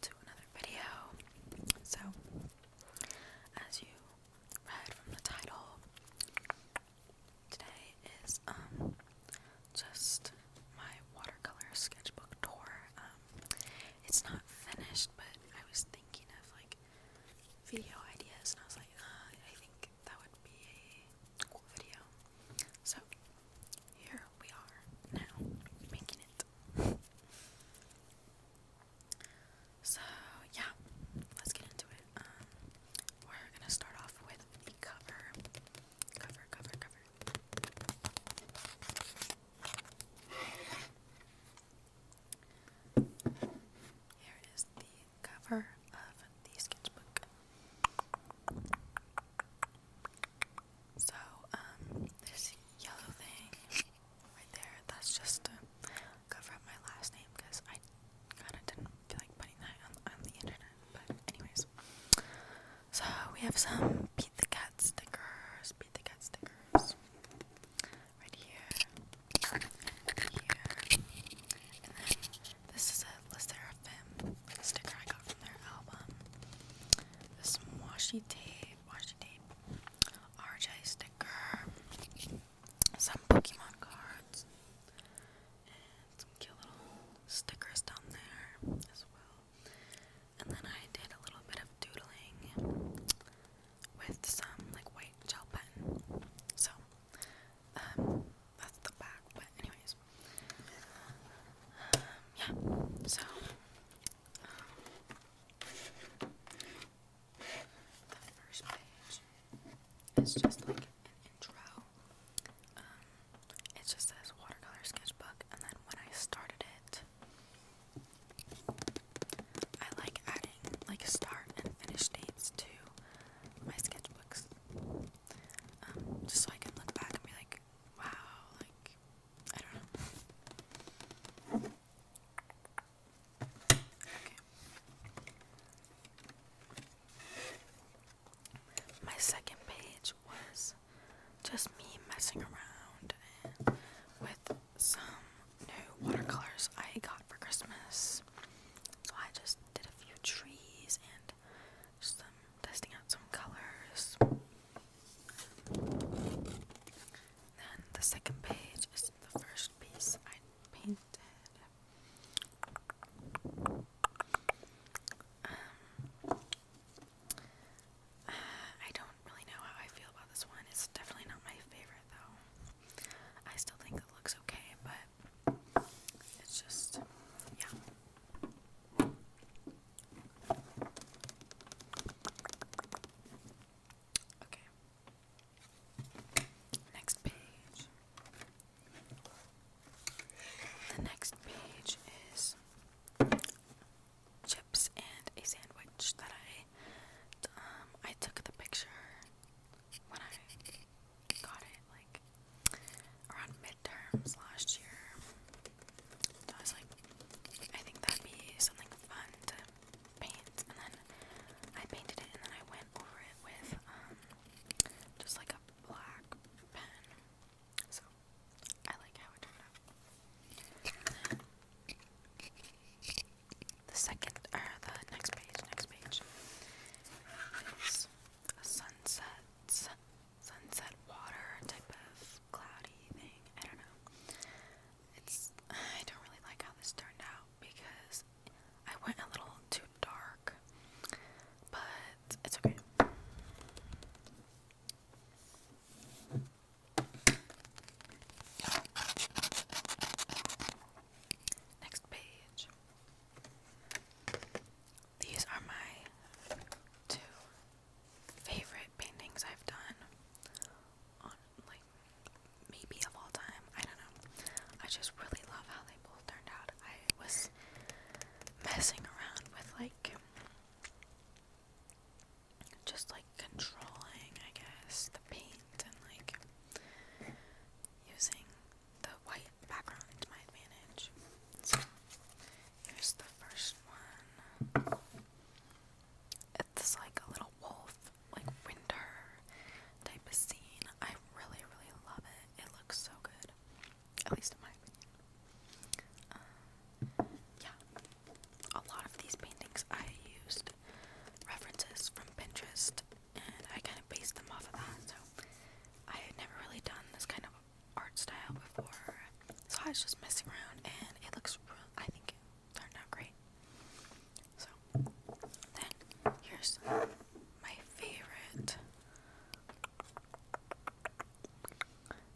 to another video. So, as you read from the title, today is um just my watercolor sketchbook tour. Um, it's not finished, but I was thinking of like video ideas, and I was like, uh, I think that would be a cool video. So, here where we are now, making it. so, yeah, let's get into it. Um, we're gonna start off with the cover. Cover, cover, cover. Here is the cover of the sketchbook. So, um, this yellow thing right there, that's just to cover up my last name because I kind of didn't feel like putting that on, the internet. But, anyways, so we have some Beat the Cat stickers, Beat the Cat stickers right here, right here, and then this is a of Femme sticker I got from their album. This washi tape, washi tape, RJ sticker, some Pokemon cards, and some cute little stickers down there as well. And then I did a little bit of doodling with some like white gel pen. So, um, that's the back. But anyways, anyways. yeah, so the first page is just like an intro. Um, it just says watercolor sketchbook, and then when I started it, I like adding like start and finish dates to my sketchbooks, um, just so I can look back and be like, wow, like my second page was just me messing around with some new watercolors I got for Christmas. So I just did a few trees and just testing out some colors. Then the second page is the first piece I painted. Um, I don't really know how I feel about this one. It's definitely not my favorite, though. I still think it looks okay, but it's just, yeah. Okay. Next page. The next page is chips and a sandwich that I um I took the picture when I got it like around midterms last year. So I was like, I think that'd be something fun to paint. And then I painted it and then I went over it with um, just like a black pen. So I like how it turned out. The second, or the next page, next page is a sunset water type of cloudy thing. I don't know. It's I don't really like how this turned out because I went a little too dark. But it's okay. Next page. These are my two favorite paintings I've done on maybe of all time. I don't know. I just really love how they both turned out. I was messing around with like just like controlling, I guess, the paint and like using the white background to my advantage. Here's the first one. It's like a little wolf, like winter type of scene. I really, really love it. It looks so good. At least in my um, yeah. A lot of these paintings I used references from Pinterest and I kind of based them off of that. So I had never really done this kind of art style before, so I was just messing around, and it looks real. I think it turned out great. So then here's my favorite.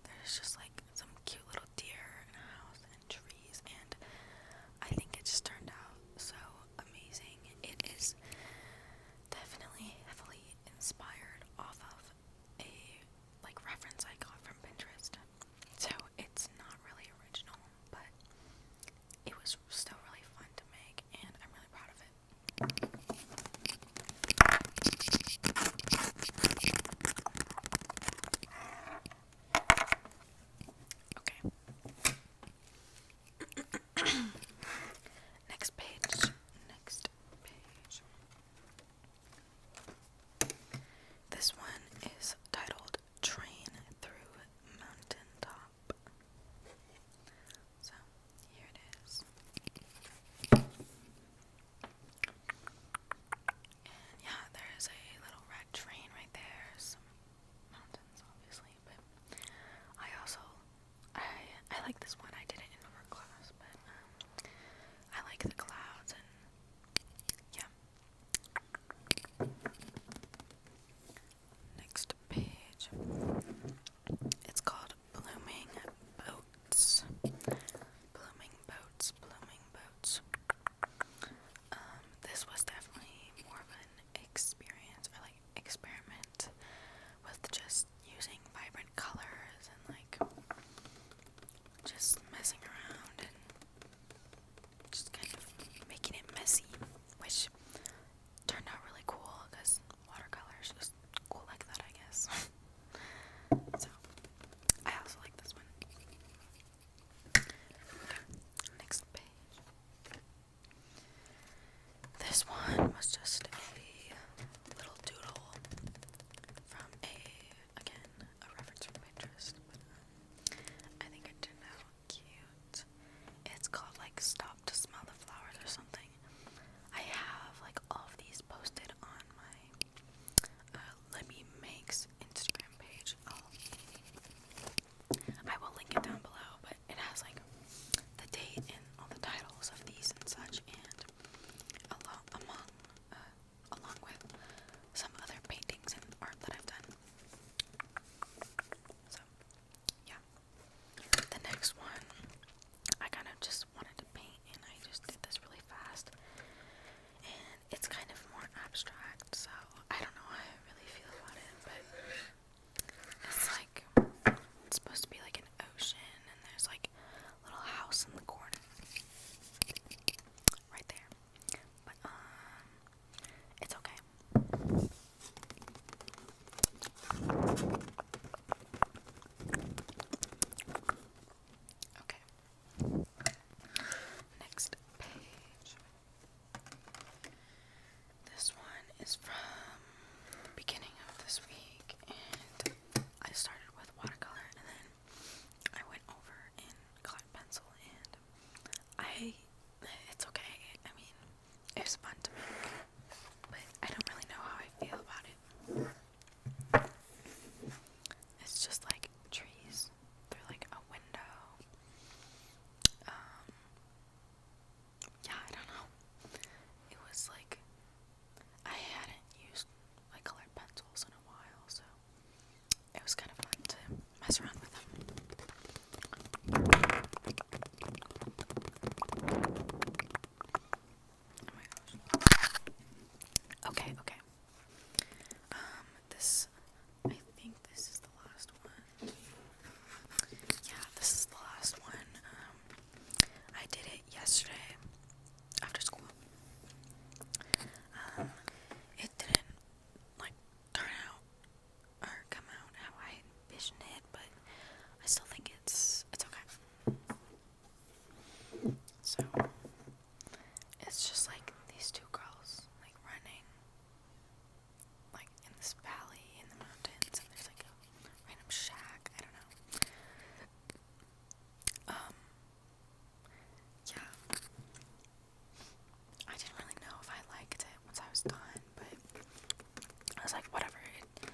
There's just like some cute little deer and a house and trees, and I think it just turned out so amazing. It is definitely heavily inspired off of a like reference I got from Pinterest. So it's not really original, but it was still really fun to make and I'm really proud of it. Okay. Next page. Next this one is titled Train Through Mountaintop. So, here it is. yeah, there is a little red train right there. Some mountains, obviously, but I also I I like this one. I did it in art class, but um, I like the clouds and yeah. Next page. It's called Blooming Boats. Blooming Boats, Blooming Boats. Um, this was definitely more of an experience or like experiment with just using vibrant colors and like just messing around and just kind of making it messy, which turned out really cool because watercolors just cool like that, I guess. so I also like this one. next page. This one was just a little doodle from a, again, a reference from Pinterest. Um, I think it turned out cute. It's called like Stop to Smell the Flowers or something. I have like all of these posted on my uh, Libby Makes Instagram page. Um, I will link it down below, but it has like the date and all the titles of these and such, and uh, along with some other paintings and art that I've done. So yeah. The next one I kind of just wanted to paint and I just did this really fast. And it's kind of more abstract, so I don't know how I really feel about it, but it's like it's supposed to be like an ocean and there's like a little house in the corner. Right there. But um it's okay. Okay. Next page. This one is from beginning of this week, and I started with watercolor, and then I went over and got pencil, and I, it's okay, I mean, it was fun to make, but I don't really know how I feel about it. It's just like trees through like a window. Um, yeah, I don't know. It was like I hadn't used my colored pencils in a while, so it was kind of fun to mess around with them. Oh my gosh. Okay, okay. Um, this I think this is the last one. Yeah, this is the last one. Um, I did it yesterday after school. Um, it didn't like turn out or come out how I envisioned it, but I still think it's it's okay. So it's just like these two girls like running like in this valley in the mountains and there's like random shack. I don't know. Um, yeah. I didn't really know if I liked it once I was done, but I was like, whatever. It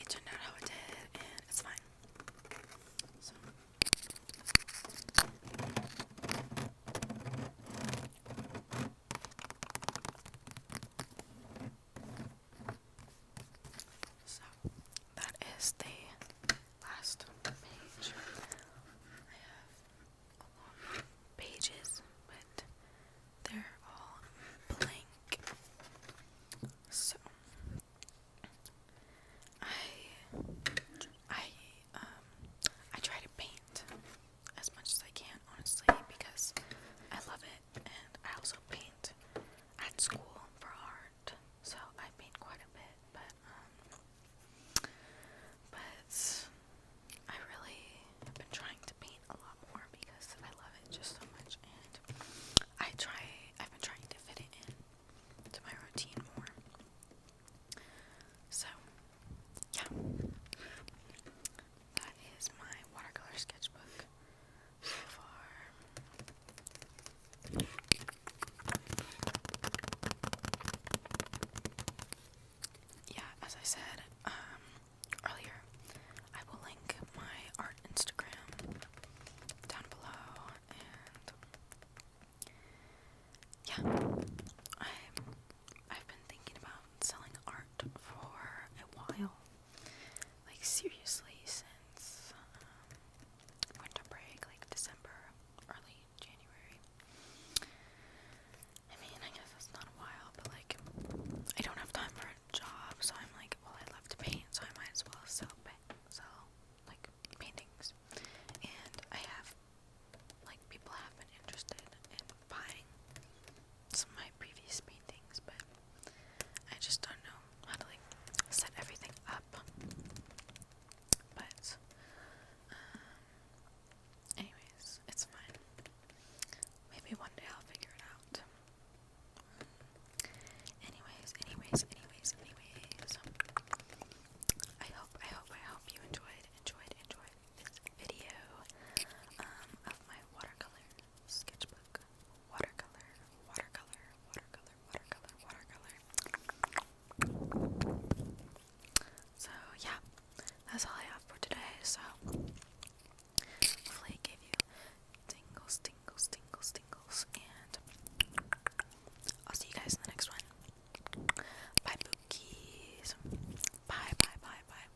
it turned out how it did, and it's fine. So that is the last page. I have a lot of pages, but they're all blank. So I I um I try to paint as much as I can honestly because I love it and I also paint at school for art, so I paint quite a bit, but, um, but I really have been trying to paint a lot more because I love it just so much, and I try, I've been trying to fit it in to my routine more. So, yeah, that is my watercolor sketchbook. Yeah, as I said um, earlier, I will link my art Instagram down below, and yeah, I'm, I've been thinking about selling art for a while like seriously since um, winter break, like December, early January. I mean, I guess that's not a while, but like, I don't have time for a job, so I'm like, well, I love to paint, so I might as well sell, sell like paintings. And I have, like, people have been interested in buying some of my previous paintings, but I just don't know how to like set everything up. But um, anyways, it's fine. Maybe one day I'll figure it out. Anyways, anyways, anyways, anyways. I hope, I hope, I hope you enjoyed, enjoyed, enjoyed this video um, of my watercolor sketchbook, watercolor, watercolor, watercolor, watercolor, watercolor. So yeah, that's all I have for today. So hopefully it gave you tingles, tingles, tingles, tingles, and I'll see you guys in the next one. Bye, bookies. Bye, bye, bye, bye.